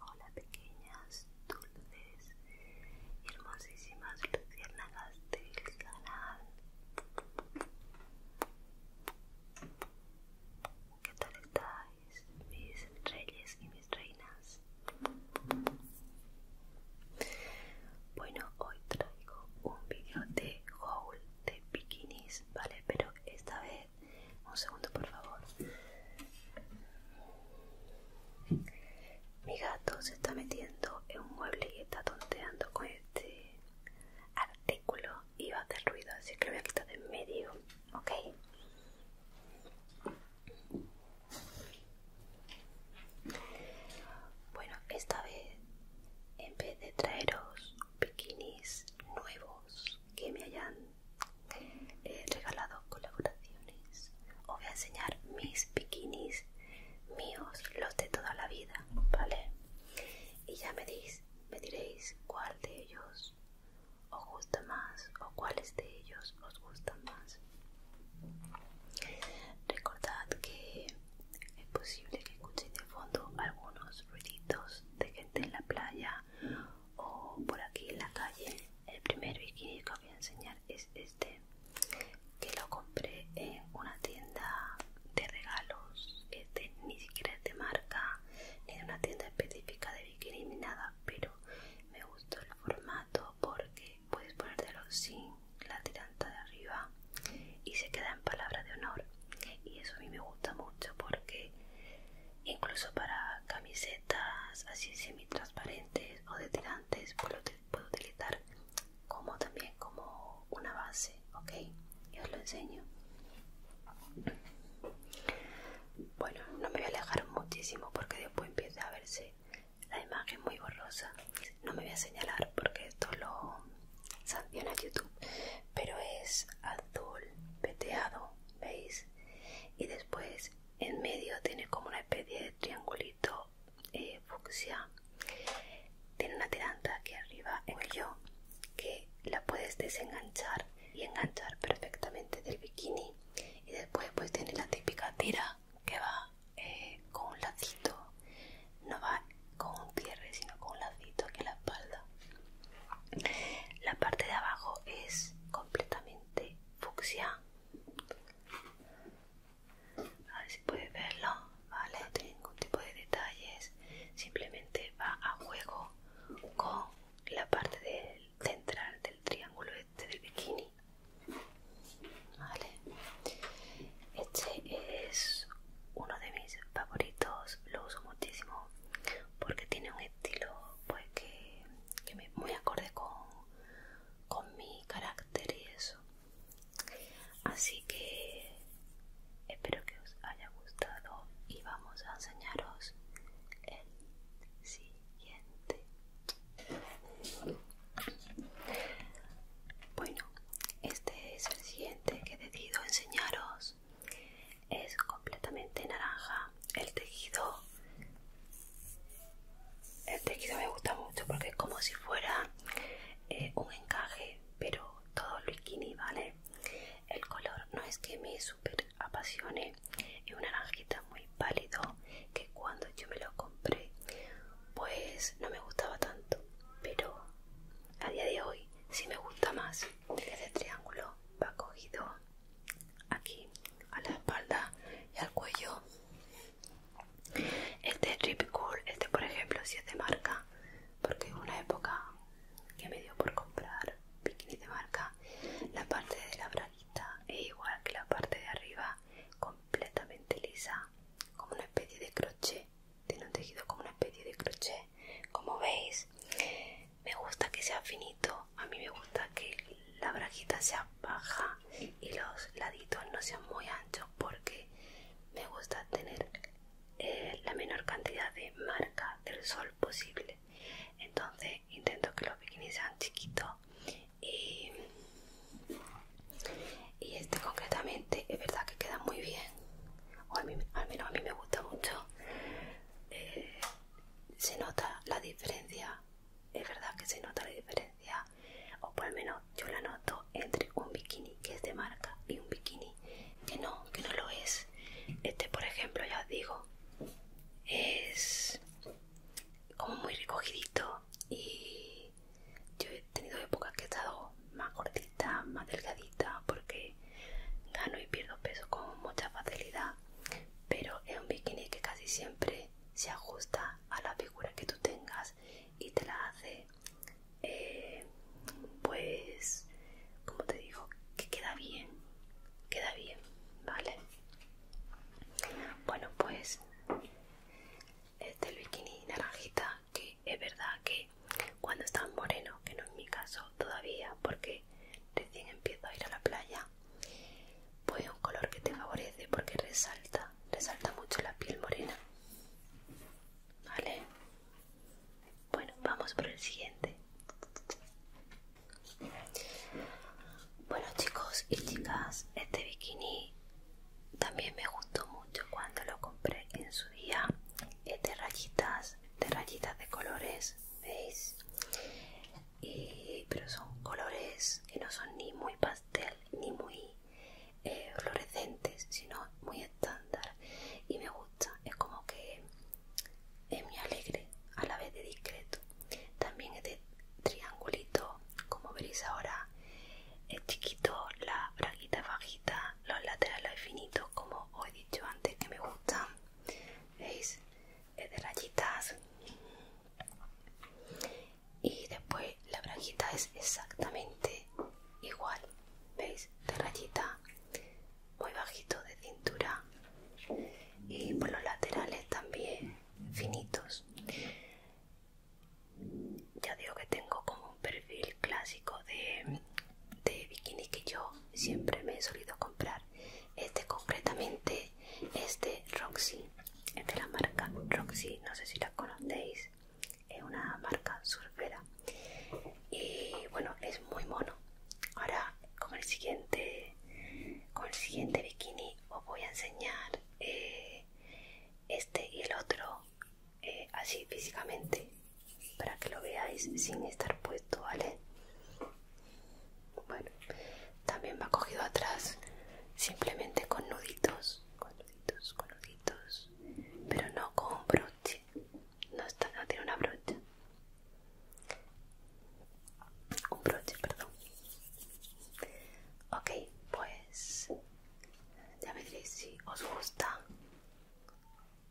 Hola pequeñas, dulces hermosísimas luciérnagas del canal. ¿Qué tal estáis, mis reyes y mis reinas? Bueno, hoy traigo un video de haul de bikinis, ¿vale? Pero esta vez, un segundo por favor. Mi gato se está metiendo en un mueble y está tonteando con este artículo y va a hacer ruido, así que lo voy a quitar de en medio, ¿ok? Bueno, esta vez en vez de traeros bikinis nuevos que me hayan He regalado colaboraciones. Os voy a enseñar mis bikinis míos, los de toda la vida, ¿vale? Y ya me, me diréis cuál de ellos os gusta más o cuáles de ellos os gustan más. Recordad que es posible que escuchéis de fondo algunos ruiditos de gente en la playa o por aquí en la calle. El primer bikini que os voy a enseñar es este, que lo compré en una tienda de regalos. Este ni siquiera es de marca, ni de una tienda específica de bikini ni nada, pero me gustó el formato porque puedes ponértelo sin la tiranta de arriba y se queda en palabra de honor. Y eso a mí me gusta mucho porque incluso para camisetas así semi transparentes o de tirantes puedo, utilizar como también como una base ok Y os lo enseño bueno no me voy a alejar muchísimo porque después empieza a verse la imagen muy borrosa no me voy a señalar porque esto lo sanciona youtube pero es azul peteado, veis y después en medio tiene como una especie de triangulito eh, fucsia tiene una tiranta aquí arriba en el yo que la puedes desenganchar y enganchar perfectamente del bikini y después pues tiene la típica tira que va eh, con un lacito no va con un cierre sino con un lacito aquí en la espalda la parte de abajo es completamente fucsia. A ver si puedes verlo, ¿vale? No tiene ningún tipo de detalles, simplemente va a juego con la parte central del triángulo este del bikini. Este es uno de mis favoritos, lo uso muchísimo porque tiene un estilo pues que, me, muy acorde con, con mi carácter y eso así que espero que os haya gustado y vamos a enseñaros el siguiente bueno este es el siguiente que he decidido enseñaros es completamente naranja el tejido el tejido me gusta mucho porque es como si fuera eh, un encaje pero todo bikini vale el color no es que me super apasione es un naranjita muy pálido que cuando yo me lo compré pues no me gustaba tanto pero a día de hoy sí me gusta más este triángulo va cogido aquí a la espalda y al cuello. Este es este por ejemplo si es de marca, porque en una época que me dio por comprar bikini de marca. La parte de la braguita es igual que la parte de arriba, completamente lisa, como una especie de crochet. Tiene un tejido como una especie de crochet, como veis me gusta que sea finito, a mí me gusta que la brajita sea baja y los laditos no sean muy anchos porque me gusta tener eh, la menor cantidad de marca del sol posible. Entonces intento que los bikinis sean chiquitos y, este concretamente es verdad que queda muy bien, o al menos a mí me gusta mucho. Eh, se nota la diferencia, es verdad que se nota la diferencia, o por lo menos yo la noto entre un bikini que es de marca y un bikini que no, que no lo es. Este, por ejemplo, ya os digo, es como muy recogidito y yo he tenido épocas que he estado más gordita, más delgadita, porque gano y pierdo peso con mucha facilidad, pero es un bikini que casi siempre se ajusta a la figura que tú tengas y te la hace, eh, pues, como te digo, que queda bien, queda bien, ¿vale? Bueno, pues este es el bikini naranjita que es verdad que cuando estás moreno, que no es mi caso todavía, porque recién empiezo a ir a la playa, pues un color que te favorece porque resalta, resalta mucho la piel morena. Vale. Bueno, vamos por el siguiente. Bueno chicos y chicas, este bikini también me gustó mucho cuando lo compré en su día. Este rayitas de rayitas de colores, ¿veis? pero son colores que no son ni muy pastel ni muy eh, sino muy estándar. Y me gusta, es como que es muy alegre a la vez de discreto. También es de triangulito, como veréis ahora, es chiquito, la braguita bajita, los laterales finitos, como hoy dicho antes que me gustan veis de rayitas y después la brajita es exactamente igual veis de rayita muy bajito de cintura y por los laterales también finitos ya digo que tengo como perfil clásico de, bikini que yo siempre me he solido comprar este concretamente este Roxy es la marca Roxy no sé si la conocéis es una marca surfera y bueno es muy mono ahora con el siguiente con el siguiente bikini os voy a enseñar eh, este y el otro eh, así físicamente para que lo veáis sin estar puesto, ¿vale? Bueno, también va cogido atrás simplemente con nuditos, con nuditos, con nuditos, pero no con broche, no, está, no tiene una brocha, un broche, perdón. Ok, pues ya me diréis si os gusta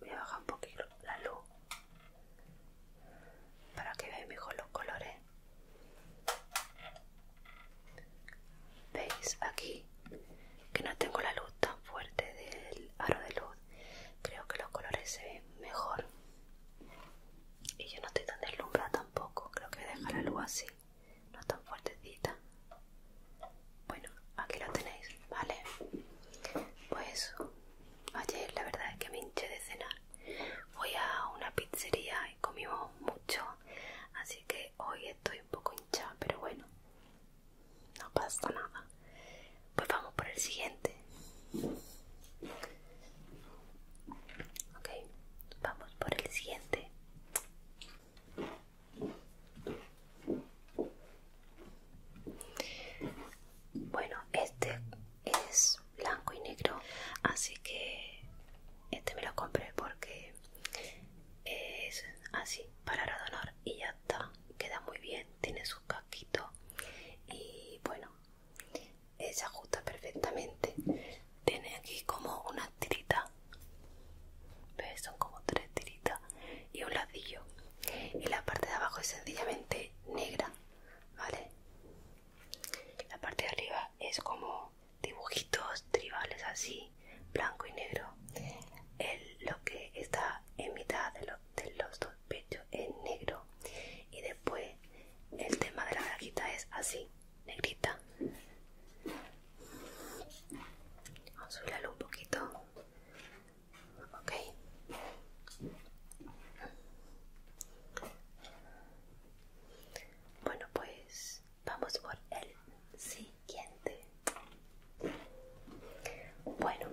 voy a bajar un poquito la luz para que veáis mejor los colores veis aquí que no tengo la luz tan fuerte del aro de luz creo que los colores se ven mejor y yo no estoy tan deslumbrada tampoco creo que deja dejar la luz así no tan fuertecita bueno, aquí lo tenéis, ¿vale? Pues ayer la verdad es que me hinché de cenar. Fui a una pizzería y comimos mucho, así que hoy estoy un poco hinchada, pero bueno, no pasa nada. Pues vamos por el siguiente. Ok, vamos por el siguiente. Bueno, este es blanco y negro, así que este me lo compré porque es así para radonar y ya está. Queda muy bien, tiene sus casquitos y bueno, se ajusta perfectamente. Tiene aquí como una tirita ¿Ves? Son como tres tiritas y un ladillo. Y la parte de abajo es sencillamente negra, ¿vale? La parte de arriba es como dibujitos tribales así, blanco y negro. El, lo que está en mitad de, los dos pechos es negro. Y después el tema de la cajita es así, negrita. Vamos a subirlo un poquito. Ok. Bueno, pues vamos por el siguiente. Bueno,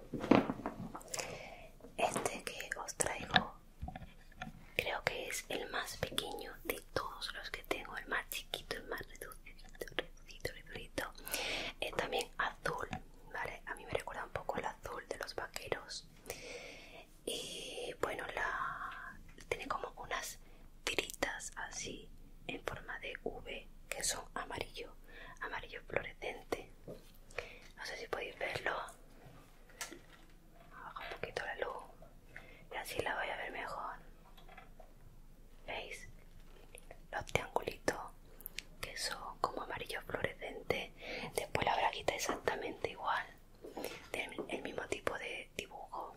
este que os traigo creo que es el más pequeño de todos los que tengo, el más chiquito, el más reducido es eh, también azul, ¿vale? A mí me recuerda un poco el azul de los vaqueros. Y bueno, la tiene como unas tiritas así en forma de V que son amarillo, amarillo fluorescente. No sé si podéis verlo. un poquito la luz y así la voy a ver mejor. ¿Veis? Los triangulitos que son como amarillos fluorescentes Después la braguita exactamente igual. Tiene el mismo tipo de dibujo.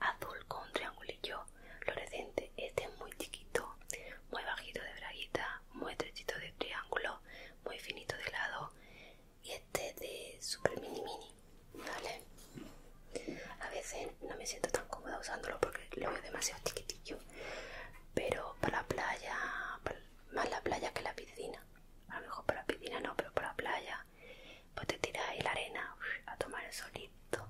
Azul con triangulillo fluorescente. Este es muy chiquito, muy bajito de braguita, muy estrechito de triángulo, muy finito de lado. Y este es de super mini mini. ¿vale? A veces no me siento tan cómoda usándolo porque lo veo demasiado chiquitillo, pero para la playa, más la playa que la piscina. A lo mejor para la piscina no, pero para la playa, pues te tiras ahí la arena a tomar el solito.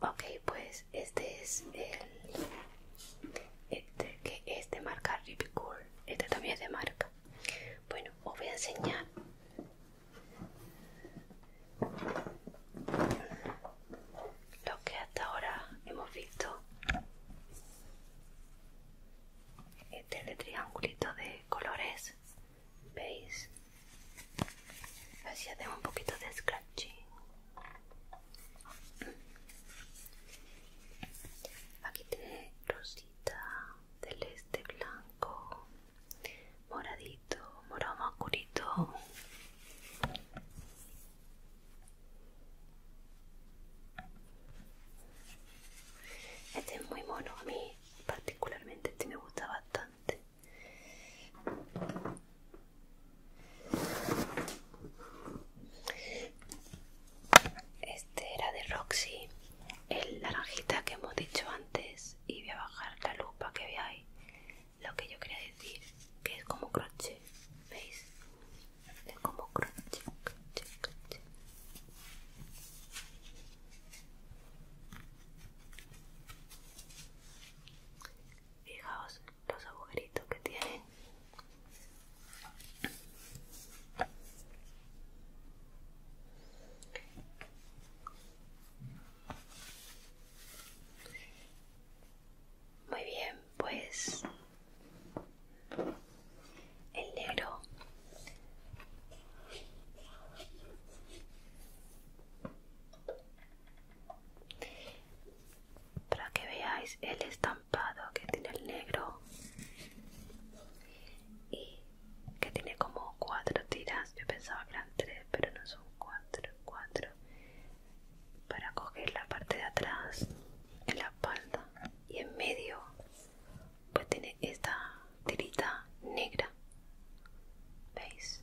Ok, pues este es el. Este que es de marca Rip Este también es de marca. Bueno, os voy a enseñar lo que hasta ahora hemos visto este es triangulito de colores veis así hacemos un poquito de scratching aquí tiene rosita del este blanco moradito, morado más oscurito. Este es muy mono, a mí particularmente este me gusta bastante. Este era de Roxy el naranjita que hemos dicho antes y voy a bajar la luz para que veáis lo que yo quería decir que es como crochet veis es como crochet, crochet, crochet. fijaos los agujeritos que tienen muy bien, pues el negro para que veáis el estampado que tiene el negro y que tiene como cuatro tiras. Yo pensaba que eran tres, pero no son cuatro, cuatro. Para coger la parte de atrás, en la espalda y en medio, pues tiene esta tirita negra. ¿Veis?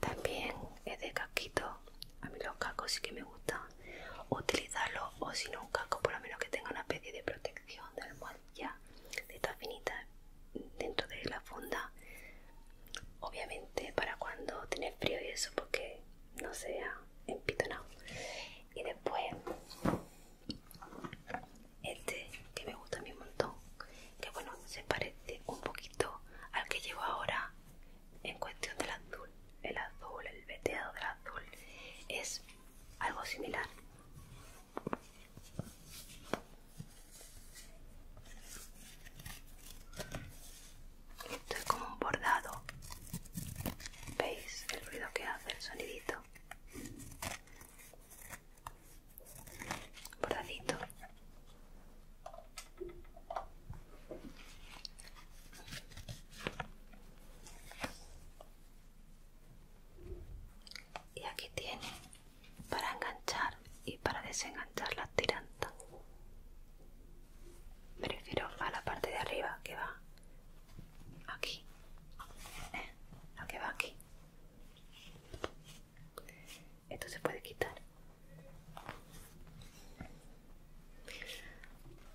También es de casquito. A mí los cascos sí que me gusta utilizarlo o si no un casco, por lo menos que tenga una especie de protección de almohadilla de esta finita dentro de la funda obviamente para cuando tiene frío y eso porque no sea empitonado y después este que me gusta a mí un montón que bueno se parece un poquito al que llevo ahora en cuestión del azul el azul el veteado del azul es algo similar. Esto es como un bordado. ¿Veis el ruido que hace el sonidito? Bordadito y aquí tiene para enganchar y para desenganchar la tiranta Prefiero a la parte de arriba que va aquí ¿eh? la que va aquí esto se puede quitar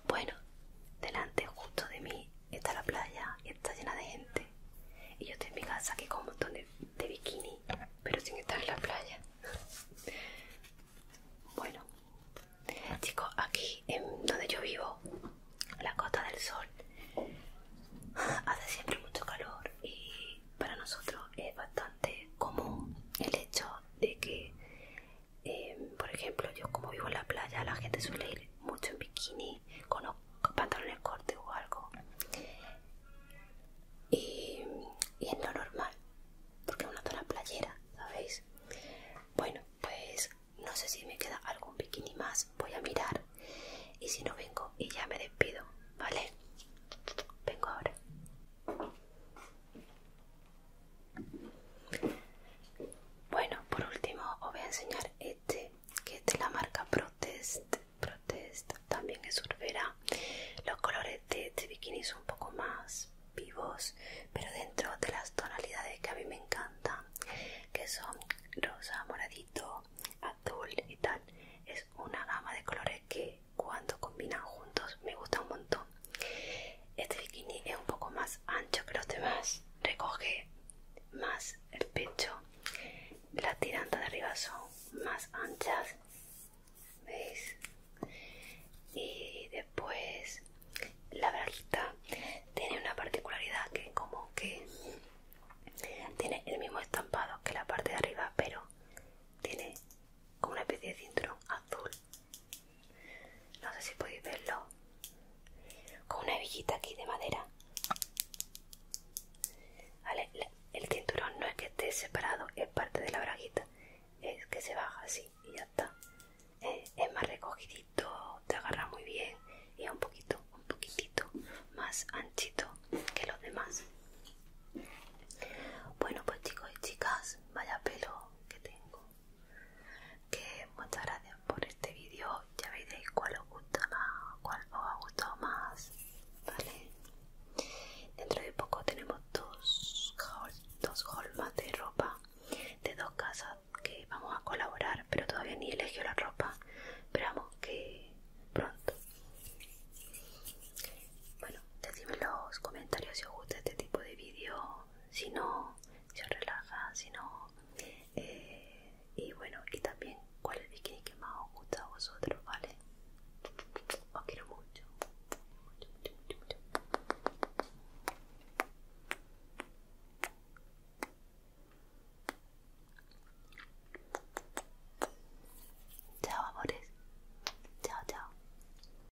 bueno delante justo de mí está la playa y está llena de gente. Y yo estoy en mi casa aquí con un montón de, de bikini, pero sin estar en la playa. bueno, chicos, aquí en donde yo vivo, la Costa del Sol, hace siempre mucho calor y para nosotros es bastante común el hecho de que Em, por ejemplo, yo como vivo en la playa, la gente suele ir mucho en bikini, con, pantalones cortos o algo. Y, es lo normal, porque es una zona playera, ¿sabéis? Bueno, pues no sé si me queda algún bikini más, voy a mirar. Y si no vengo y ya me despido, ¿vale? Vengo ahora. Bueno, por último os voy a enseñar este, que este es de la marca Protest. Protest también es urbera. Los colores de este bikini son un poco más vivos, pero dentro de las tonalidades que a mí me encantan, que son rosa, moradito, azul y tal. Es una gama de colores que cuando combinan juntos me gusta un montón. Este bikini es un poco más ancho que los demás, recoge más el pecho, las tirantas de arriba son más anchas, ¿veis? Y después la braguita tiene una particularidad que como que tiene el mismo estampado que la parte de arriba, pero tiene como una especie de cinturón azul no sé si podéis verlo con una hebillita aquí de madera el cinturón no es que esté separado es parte de la braguita es que se baja así y ya está eh, es, más recogidito te agarra muy bien y es un poquito un poquitito más anchito que los demás bueno pues chicos y chicas vaya pelo que tengo que muchas gracias por este vídeo ya veréis cuál os gusta más cuál os ha gustado más vale dentro de poco tenemos dos colmas de ropa de dos casas que vamos a colaborar pero todavía ni elegí la ropa esperamos que pronto bueno decidme en los comentarios si os gusta este tipo de vídeo si no se relaja, si no. Eh, y bueno, y también cuál es el bikini que más os gusta a vosotros, ¿vale? Os quiero mucho. mucho, mucho, mucho, mucho. Chao, amores. Chao, chao.